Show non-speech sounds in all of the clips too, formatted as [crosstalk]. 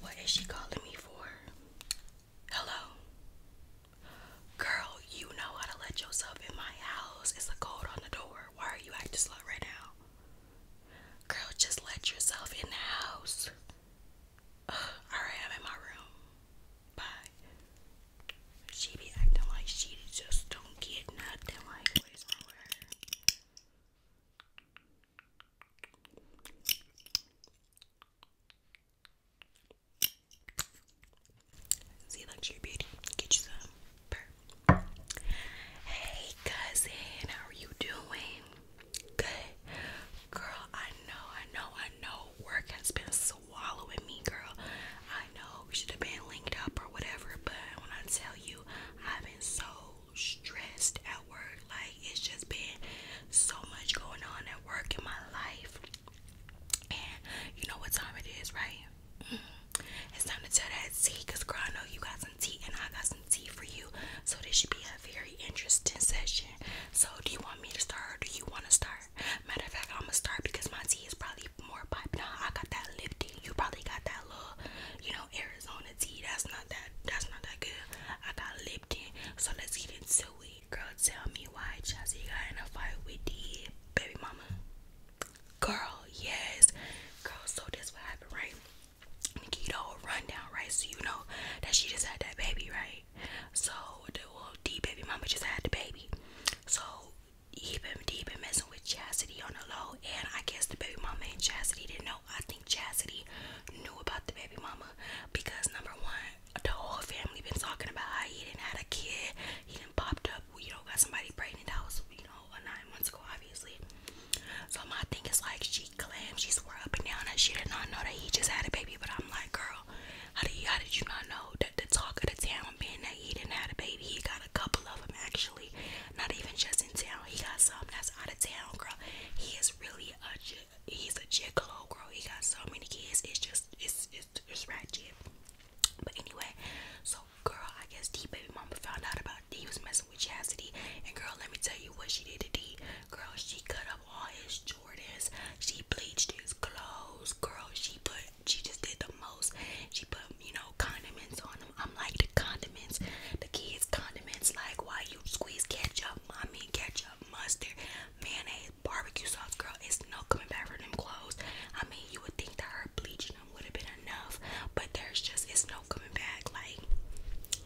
What is she calling me for? Hello? Girl, you know how to let yourself in my house. It's a code on the door. Why are you acting slow right now? Girl, just let yourself in the house. Alright, I'm in my room. Bye. She be acting like she just don't get nothing. Like, what is See luxury beauty. Get you some Hey cousin, how are you doing? Good. Girl, I know, I know, I know. Work has been swallowing me, girl. I know we should have been linked up or whatever, but when I tell you, I've been so stressed at work. Like it's just been so much going on at work in my life. And you know what time it is, right? Mm-hmm. It's time to tell that tea, girl, I know you got some tea and I got some tea for you. So this should be a very interesting session. So do you want me to start or do you want to start? Matter of fact, I'm gonna start because my tea is probably more piping. I got that lifting. You probably got that little, you know, Arizona let's eat. That's not that. That's not that good. I got Lipton, so let's get into it. Girl, tell me why Chelsea got in a fight with the baby mama. Girl, yes. Girl, so this what happened, right? Nikito rundown, right? So you know that she just had that baby, right? So the well, the baby mama just had the baby. So he been, he been messing with Chastity on the low, and I guess the baby mama and Chastity didn't know I think Chasity knew about the baby mama because number one, the whole family been talking about how he didn't have a kid, he didn't popped up, We don't got somebody pregnant that was, you know, a nine months ago, obviously. So my thing is like she claimed she swore up and down that she did not know that he just had a baby, but I'm like, girl, how do you how did you not know that the talk of the town being that he didn't have a baby? He got a couple of them actually not even just in town. He got something that's out of town, girl. He is really a he's a gigolo, girl. He got so many kids. It's just it's it's it's ratchet. But anyway, so girl, I guess D baby mama found out about D was messing with Chastity, and girl, let me tell you what she did to D. Girl, she cut up all his Jordans. She bleached his clothes. Girl, she put she just did the most. She put you know condiments on I'm like the condiments, the kids' condiments, like why you squeeze ketchup, mommy, ketchup, mustard, mayonnaise, barbecue sauce, girl. It's no coming back from them clothes. I mean, you would think that her bleaching them would have been enough, but there's just it's no coming back. Like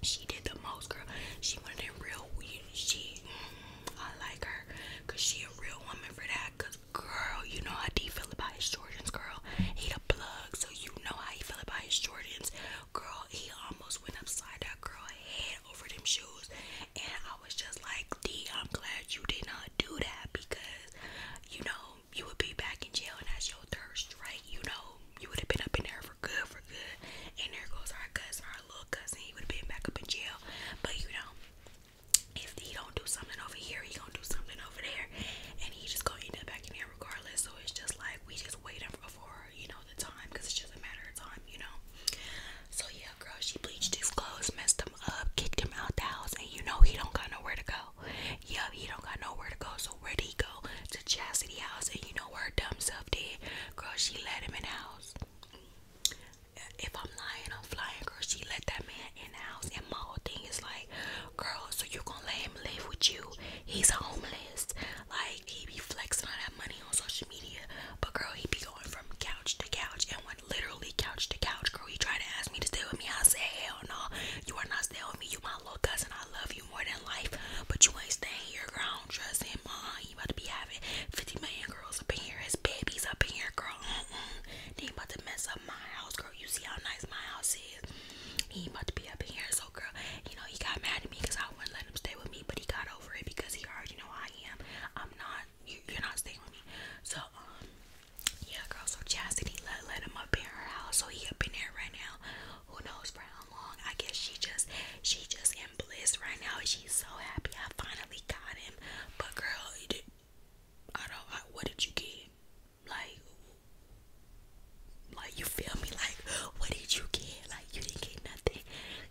she did the most, girl. She wanted them real. She, mm, I like her, cause she a real woman for that. Cause girl, you know how do you feel about it? Jordans, girl. He the plug, so you know how he feel about his Jordans. Girl, he almost went upside that girl head over them shoes. And I was just like, D, I'm glad you did not do that because, you know, you would be back in jail and that's your thirst, right? You know, you would have been up in there for good, for good. And there goes our cousin, our little cousin. He would have been back up in jail. But, you know, if he don't do something over here, he gonna do something over there. And he just gonna end up back in here regardless. So it's just like we just waiting for you know the time because it's just a matter of time, you know. So yeah, girl, she bleached his clothes, messed him up, kicked him out the house, and you know he don't got nowhere to go. Yeah, he don't got nowhere to go. So where did he go? To Chastity House, and you know where dumb self did. Girl, she let him in the house. If I'm lying, I'm flying, girl. She let that man in the house, and my whole thing is like, girl, so you are gonna let him live with you? He's homeless. Like he be flexing all that money on social media, but girl, he be going from couch to couch and went literally couch to couch. Girl, he tried to ask me to stay with me. I say hell no, you are not staying with me. You my little cousin. I love you more than life, but you ain't staying here, girl. I don't trust him. Uh, uh-uh. you about to be having 50 million girls up in here, his babies up in here, girl. Mm about to mess up up my house, girl. You see how nice my house is. He about to be up in here, so girl, you know, he got mad at me because I wouldn't let him stay with me, but he got over it because he already know I am. I'm not, you, you're not staying with me. So, um, yeah, girl, so Chastity let, let him up in her house, so he up in there right now. Who knows for how long? I guess she just, she just in bliss right now. She's so happy I finally got him. But girl, it, I don't, I, what did you get? like like you feel me like what did you get like you didn't get nothing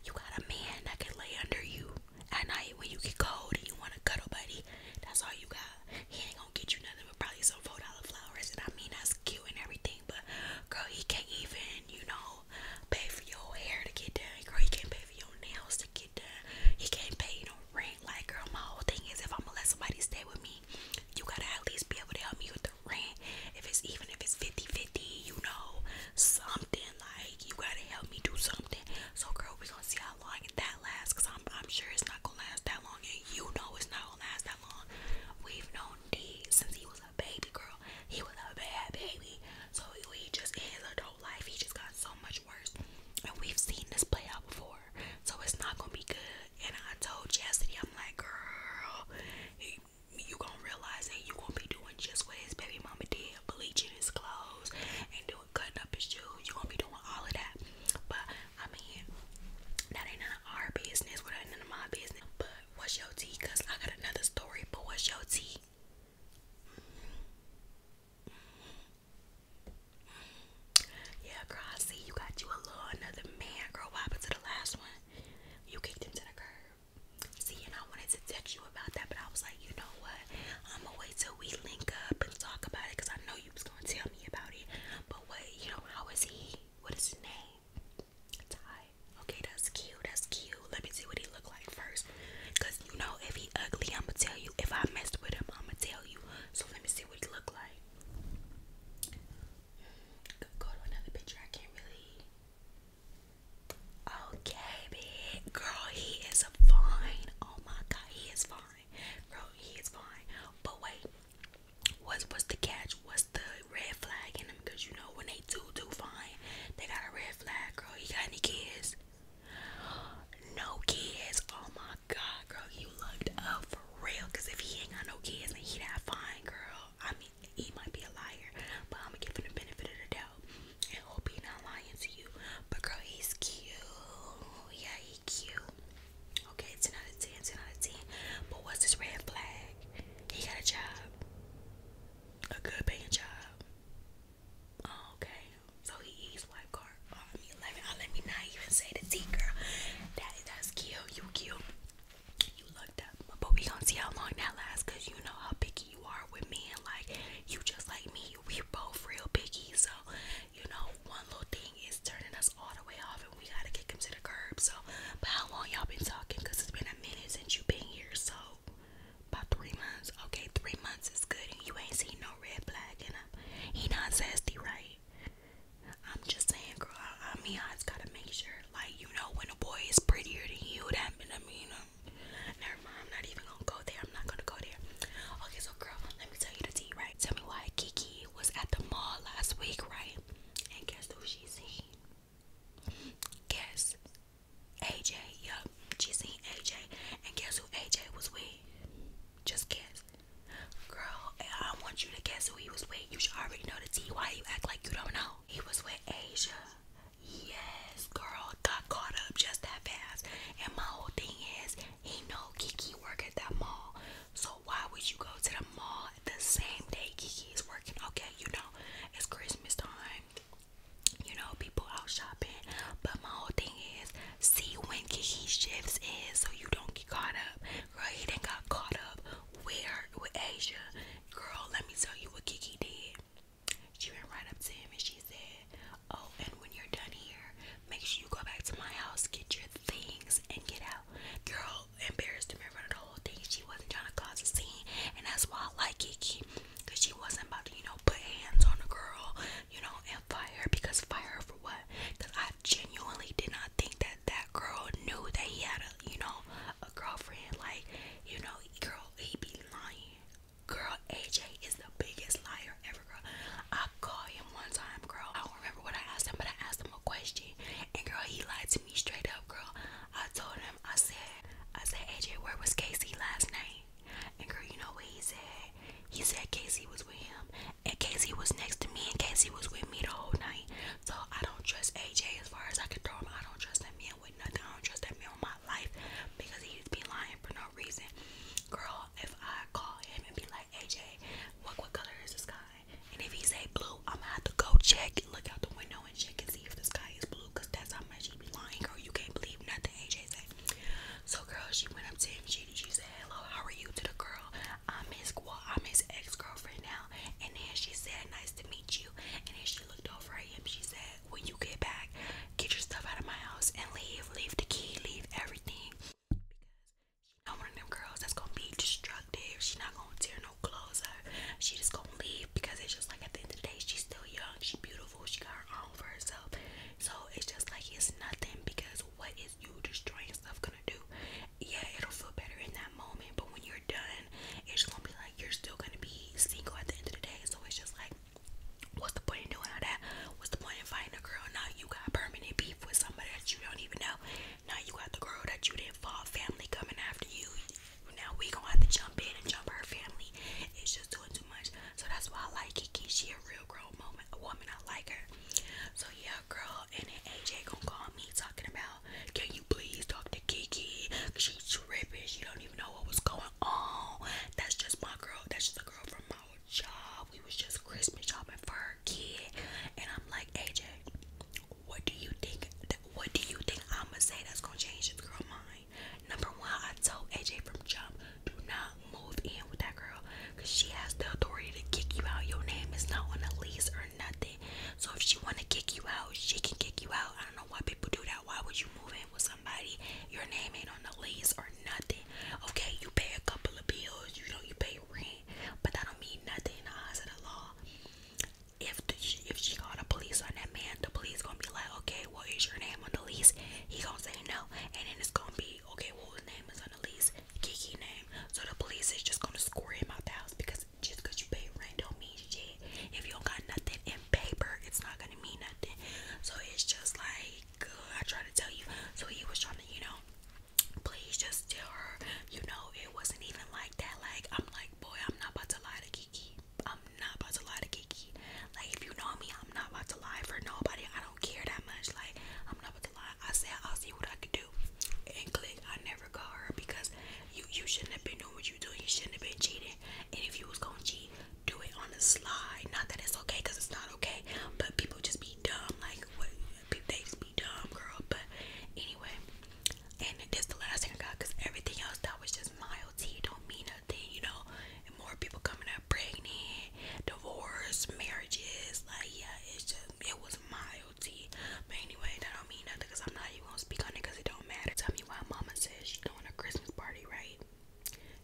you got a man that can lay under you at night when you get cold and you want to cuddle buddy that's all you got he ain't gonna get you nothing but probably some four dollar flowers and i mean that's cute and everything but girl he can't even you know pay for your hair to get done girl he can't pay for your nails to get done he can't pay you no know, like girl my whole thing is if i'm gonna let somebody stay with me you gotta at least be able to help me with the rent. If it's even if it's 50-50, you know, something like you gotta help me do something. So girl, we gonna see how long that lasts because I'm I'm sure it's not gonna last that long and you know it's not gonna last that long. We've known D since he was a baby girl. He was a bad baby. So he just in his adult life he just got so much worse. And we've seen this play out before so it's not gonna be good. And I told Chastity, I'm like, girl, you gonna realize that you gonna be doing just what his baby mama did, bleaching his clothes and doing cutting up his shoes. You gonna be doing all of that. But I mean, that ain't none of our business. Well, that ain't none of my business. But what's your tea? Cause I got another story. But what's your tea? Mm yeah, girl, you got you a little another man, girl. What to the last one? You kicked him to the curb. See, and I wanted to text you about that, but I was like, you know what? i wait till we link up and talk about it, cause I know you was gonna tell me about it. But what, you know, how is he? What is his name? Ty. Okay, that's cute. That's cute. Let me see what he look like first, cause you know if he ugly, i tell you. If I messed with him, i tell you. So let me see see look like. Go to another picture. I can't really. Okay, big girl, he is fine. Oh my god, he is fine. Bro, he is fine. But wait, what's what's the catch? What's the red flag in him? Cause you know when they do do fine, they got a red flag. Girl, he got any kids? No kids. Oh my god, girl, you looked up for real. Cause if he ain't got no kids then he would that fine, girl, I mean, he might be a liar, but I'm gonna give him the benefit of the doubt and hope he not lying to you. But girl, he's cute. Yeah, he cute. Okay, 10 out of 10, 10 out of 10. But what's this red flag? He got a job. A good paying job. Oh, okay. So he eats white car. Oh, I mean, let me, uh, let me not even say the T girl. Daddy that's kill You kill You looked up, but we don't see how long that lasts. Cause you know how picky you are with me, and like you just like me. We both real picky. So you know, one little thing is turning us all the way off, and we gotta get him to the curb. So, but how long y'all been talking? Cause it's been a minute since you been here. So about three months. Okay, three months is good, and you ain't seen no red flag. And he not zesty, right? I'm just saying, girl. I, mean, I just gotta make sure, like, you know, when a boy is prettier than you, that I mean, um, never mind. I'm not even gonna go there. I'm not gonna go there. Okay, so girl, let me tell you the tea, right? Tell me why Kiki was at the mall last week, right? And guess who she seen? Guess AJ. Yup, she seen AJ. And guess who AJ was with? Just guess. Girl, I want you to guess who he was with. You should already know the T. Why you act like you don't know? He was with Asia. Yes, girl, got caught up just that fast. And my whole thing is, he know Kiki work at that mall. So why would you go to the mall the same day Kiki is working? Okay, you know, it's Christmas time. You know, people out shopping. But my whole thing is, see when Kiki shifts in, so you don't get caught up. Girl, he didn't got caught up where with Asia. Girl, let me tell you what Kiki did. She went right up to him and she said, Oh, and when you're done here, make sure you go back to my house, get your things, and get out. Girl embarrassed him in front of the whole thing. She wasn't trying to cause a scene, and that's why I like Kiki. Cause she wasn't about to, you know, put hands on a girl you know, and fire because fire for what? Because I genuinely did not think that that girl knew that he had a, you know, a girlfriend. Like, you know, girl, he be lying. Girl, AJ is the biggest liar ever, girl. I called him one time, girl. I remember what I asked him, but I asked him a question, and girl, he lied to me straight up, girl. I told him, I said, I said, AJ, where was Casey last night? And girl, you know what he said? He said Casey was with him, and Casey was next to me, and Casey was with me the whole night. So I don't trust AJ as far as I can throw him. I don't trust that man with nothing. I don't trust that man with my life because he's be lying for no reason. Girl, if I call him and be like, AJ, what what color is the sky? And if he say blue, I'm gonna have to go check, look out the window and check and see if the sky is blue, cause that's how much he be lying, girl. You can't believe nothing AJ says. So girl, she went up to him, she she said, Hello, how are you to the girl? I'm his I'm his ex-girlfriend now. And then she said, Nice to meet you. And then she looked over at him, she said, When you get back, get your stuff out of my house and leave, leave the key, leave everything. Because she's not one of them girls that's gonna be destructive. She's not gonna tear no clothes up. She just gonna leave because it's just like at the end of the day, she's still young, she's beautiful, she got her for herself. So it's just like it's nothing because what is you destroying stuff gonna do? Yeah, it'll feel better in that moment, but when you're done, it's just gonna be like you're still gonna be single at the end of the day. So it's just like, what's the point in doing all that? What's the point in finding a girl? Now you got permanent beef with somebody that you don't even know. Now you got the girl that you didn't fall family coming after you. Now we gonna have to jump in and jump her family. It's just doing too so that's why I like Kiki. She a real grown moment, a woman. I like her. So yeah, girl. And then AJ gonna call me talking about, can you please talk to Kiki? She's tripping. She don't even know what was going on. That's just my girl. That's just a girl from my old job. We was just Christmas shopping for her kid. And I'm like, AJ, what do you think? What do you think I'ma say that's gonna change this girl mind? Number one, I told AJ from jump, do not move in with that girl because she has the authority to kick you out. Your name is not on the lease or nothing. So if she want to kick you out, she can kick you out. I don't know why people do that. Why would you move in with somebody? Your name ain't on the lease or nothing. Okay, you pay a couple of bills, you know, you pay rent, but that don't mean nothing in the eyes of the law. If if she got the police on that man, the police gonna be like, okay, say, What is your name on the lease? He gonna say no. And then it's gonna be, Okay, well, his name is on the lease, Kiki name. So the police is just gonna score him out the house because just because you pay rent don't mean shit. If you don't got nothing in paper, it's not gonna mean nothing. So it's just like, uh, I try to tell you. So he was trying to, you know, please just tell her, you know, it wasn't even like that. Like, I'm like, Boy, I'm not about to lie to Kiki. I'm not about to lie to Kiki. Like if you know me, I'm not about to lie for nobody. I don't care that much. Like I'm not about to lie. I said I'll see what I could do. And click, I never caught her because you you shouldn't have been doing what you doing. You shouldn't have been cheating. And if you was gonna cheat, do it on the slide. Not that it's okay, it's not okay. But people just be dumb. Like what they be dumb, girl. But anyway, and this the last thing I got, everything else that was just mild tea don't mean thing, you know, more people coming out pregnant, divorce, marriages, like yeah, it's just it was mild tea. But anyway, that don't mean nothing because I'm not even gonna speak on it because it don't matter. Tell me why mama says she's doing a Christmas party, right?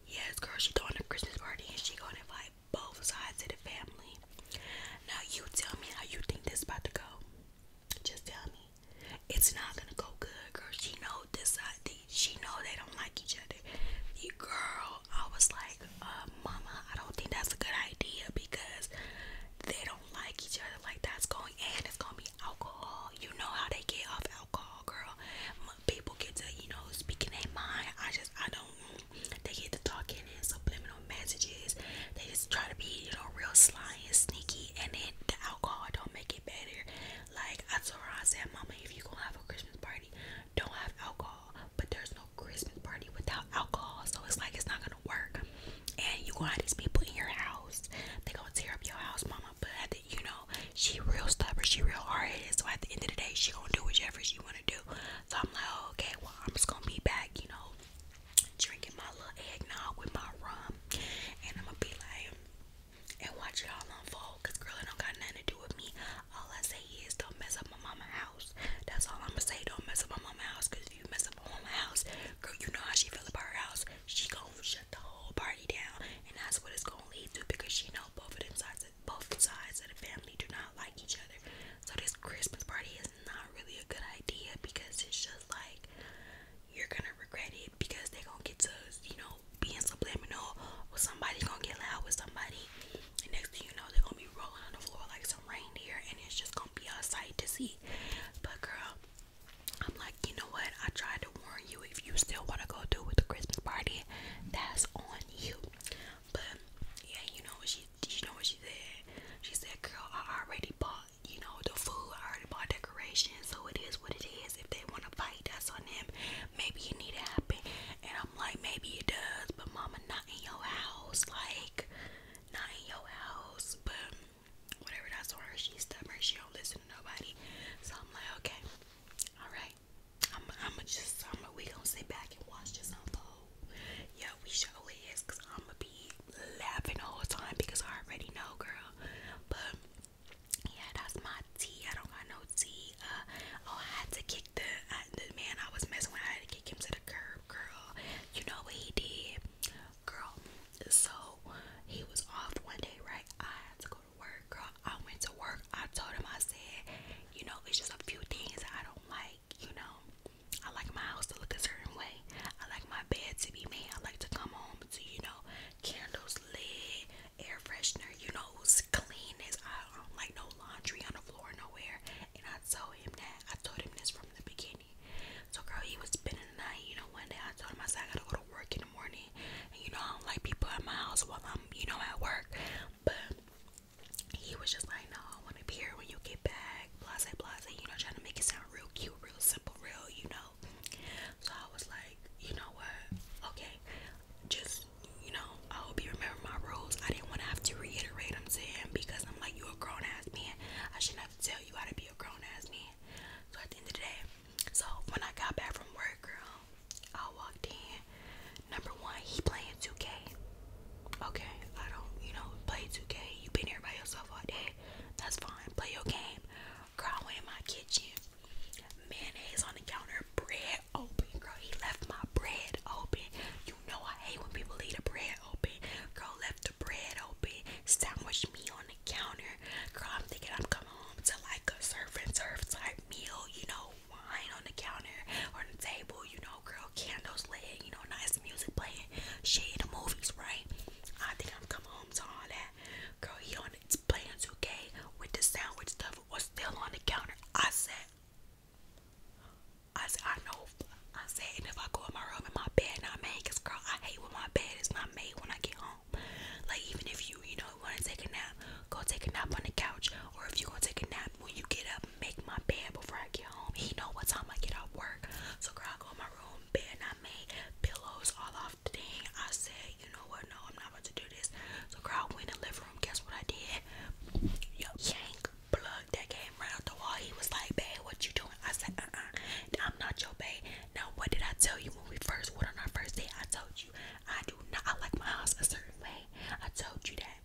Yes, girl, she's throwing a Christmas party and she gonna invite both sides of the family. Now you tell me how you think this about to go. Just tell me. It's not gonna go good, girl. She know this side. Uh, she know they don't like each other. The girl, I was like, uh, Mama, I don't think that's a good idea because they don't like each other. Like that's going, and it's gonna be alcohol. You know how they get off alcohol, girl. People get to, you know, speaking their mind. I just, I don't. They get to talking and subliminal messages. They just try to be, you know, real sly and sneaky, and then the alcohol don't make it get better. Like I told her, I said, Mama, if you gonna have a Christmas party, don't have alcohol. But there's no Christmas party without alcohol, so it's like it's not gonna work. And you gonna have these people in your house. They gonna tear up your house, Mama. But at the, you know, she real stubborn, she real hard headed. So at the end of the day, she gonna do whatever she wanna do. So I'm like, oh, okay, well I'm just gonna be back, you know, drinking my little eggnog with my rum, and I'm gonna be like and watch it all unfold. Cause girl, it don't got nothing to do with me. All I say is don't mess up my mama's house. That's all I'ma say. Don't mess up my mama's house. Cause if you mess up my mama house, girl, you know how she feel about her house. She gon' shut the whole party down, and that's what it's gonna lead to. Because she know both of them sides, both sides of the family do not like each other. So this Christmas party is not really a good idea because it's just like you're gonna regret it because they're gonna get to, you know, being subliminal or somebody gonna get loud with somebody. And next thing you know, they're gonna be rolling on the floor like some reindeer and it's just gonna be a sight to see. But girl, I'm like, you know what? I tried to warn you. If you still want to go do with the Christmas party, that's on you. But yeah, you know what she, you know what she said? She said, "Girl, I already bought you know, the food. I already bought decorations, so it is what it is. If they want to fight, that's on them. Maybe it need to happen. And I'm like, maybe it does, but mama, not in your house. Like, not in your house. But whatever, that's on her. She's stubborn. She don't listen to nobody. So I'm like, okay, all right. I'm, I'm just, I'm, we gonna sit back and watch this unfold. Yeah, we show is, cause I'm a be laughing the whole time because I already know, girl. But yeah, that's my tea. I don't got no tea. Uh, oh, I had to kick the, uh, the man I was messing with. I had to kick him to the curb, girl. You know what he did, girl? So he was off one day, right? I had to go to work, girl. I went to work. I told him, I said, you know, it's just a few things I don't like. You know, I like my house to look a certain way. I like my bed to be made. I like to come home to, you know, candles lit, air freshener, you know, as clean as I do like no laundry on the floor nowhere. And I told him that. I told him this from the beginning. So, girl, he was spending the night. You know, one day I told him, I said, I gotta go to work in the morning. And, you know, I don't like people at my house while I'm, you know, at work. But he was just like, no, I want to be here when you get back. Blase, blase, you know, trying to make it sound real cute, real simple, real, you know. So I was like, you know what? Okay, just you know, I hope you remember my rules. I didn't want to have to reiterate them to him because I'm like, you a grown ass man. I shouldn't have to tell you how to be a grown ass man. So at the end of the day, so when I got back from work, girl, um, I walked in. Number one, he playing 2K. Okay, I don't, you know, play 2K. you been here by yourself all day that's fine. Play your game. Girl, I in my kitchen. Mayonnaise on the counter, bread open. Girl, he left my bread open. You know I hate when people leave the bread open. Girl, left the bread open. Sandwich me on the counter. Girl, I'm thinking I'm coming home to like a serve and serve type meal. You know, wine on the counter, on the table. You know, girl, candles lit. You know, nice music playing, shade movies, right? I think I'm coming home to all that. Girl, he on it's playing 2 with the sandwich stuff was still on the counter. I said, I said, I know. I said, and if I go in my room and my bed not made, girl, I hate when my bed is not made when I get home. Like even if you, you know, want to take a nap, go take a nap on the couch, or if you gonna take a nap when you get up, make my bed before I get home. He know what time I get off work, so girl, I go in bed not made, pillows all off the thing. I said, you know what? No, I'm not about to do this. So girl, went in living room. Guess what I did? Yo, yank plug that came right out the wall. He was like, babe, what you doing? I said, uh-uh, I'm not your babe. Now, what did I tell you when we first went on our first date? I told you I do not I like my house a certain way. I told you that.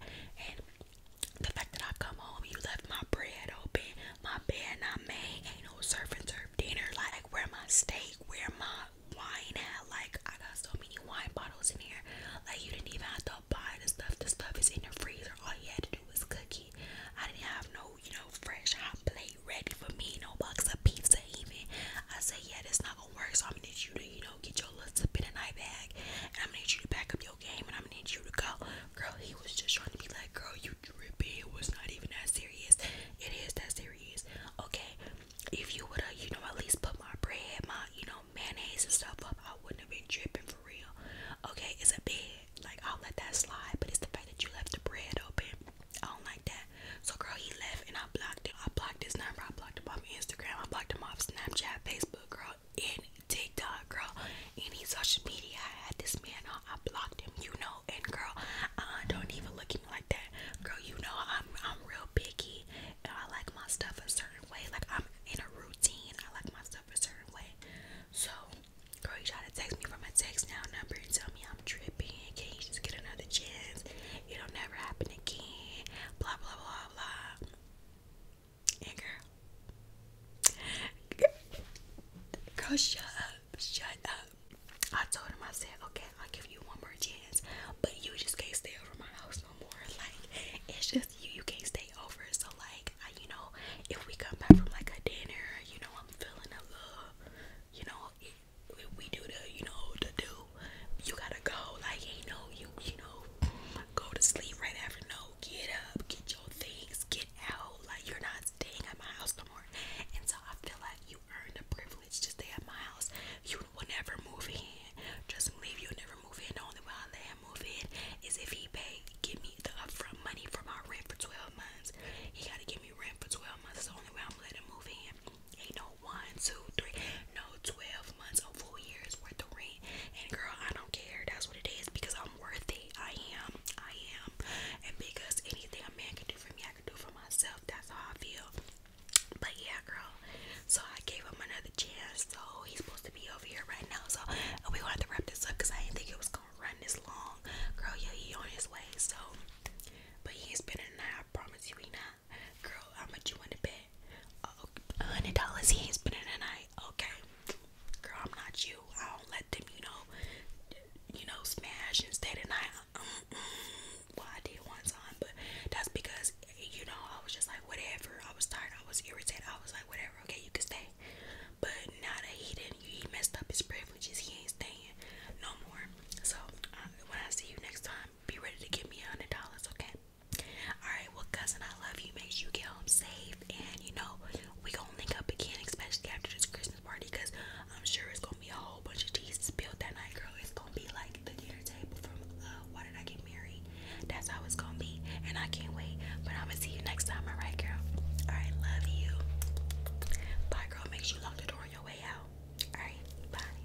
The fact that I come home, you left my bread open, my bed not ain't no surf and dinner. Like, where my steak, where my wine at? Like, I got so many wine bottles in here. Like, you didn't even have to buy the stuff. The stuff is in the freezer. All you had to do was cook I didn't have no, you know, fresh hot plate ready for me, no box of pizza even. I said, yeah, that's not gonna work. So I'm gonna need you to, you know, get your little tip in a night bag, and I'm gonna need you to back up your game and i need you to go. Girl, he was just trying to be like, girl, you drippy. It was not even that serious. It is that serious. Okay, if you would have, you know, at least put my bread, my, you know, mayonnaise and stuff up, I wouldn't have been dripping for real. Okay, it's a bit. Like, I'll let that slide, but it's the fact that you left the bread open. I don't like that. So, girl, he left and I blocked him. I blocked his number. I blocked him on Instagram. I blocked him on Snapchat, Facebook, girl in TikTok, girl, any social media. I had this man on, I blocked him, you know. And girl, I don't even look at me like that, girl. You know I'm I'm real picky, and I like my stuff a certain way. Like I'm in a routine, I like my stuff a certain way. So, girl, you try to text me from a text now number and tell me I'm tripping. Can you just get another chance? It'll never happen again. Blah blah blah blah. Yeah, girl. Girl, shut up. Shut up. I told him, I said, okay, I'll give you one more chance, but you just can't stay over my house no more. [laughs] Like, it's just you. You can't stay over. So, like, I, you know, if we come back from like a dinner, you know, I'm feeling a little, you know, we, do the, you know, the do. You gotta go. Like, you know, you, you know, go to sleep right after. No, get up, get your things, get out. Like you're not staying at my house no more. And so I feel like you earned the privilege to stay at my house. You will never move in. Just leave. You'll never move in. The only way I let him move in is if he pay give me the upfront money for my rent for 12 months. He gotta give me rent for 12 months. It's the only way I'm letting him move in. Ain't no one, two, three, no 12 months or four years worth of rent. And girl, I don't care. That's what it is because I'm worthy. I am. I am. And because anything a man can do for me, I can do for myself. That's how I feel. But yeah, girl. So I gave him another chance. So he's supposed to be over here right now. So we gonna wrap this up because I didn't think it was gonna run this long. Girl, yeah, he on his way. So, but he ain't spending the night. I promise you, he not. Girl, I'ma you in the bed. Uh hundred dollars he ain't spending the night. Okay, girl, I'm not you. I don't let them, you know, you know, smash and stay the night. Well, I did once on, but that's because you know I was just like whatever. I was tired. I was irritated. I was like whatever. Okay, you can stay. But now that he didn't, he messed up his privileges. He ain't staying no more. So when I see you next time, be ready to give me a hundred dollars. Okay. Alright, well, cousin, I love you. Make sure you get home safe. And, you know, we gonna link up again, especially after this Christmas party, because I'm sure it's gonna be a whole bunch of tea spilled that night, girl. It's gonna be like the dinner table from uh, Why Did I Get Married? That's how it's gonna be. And I can't wait. But I'm gonna see you next time, alright, girl? Alright, love you. Bye, girl. Make sure you lock the door on your way out. Alright, bye.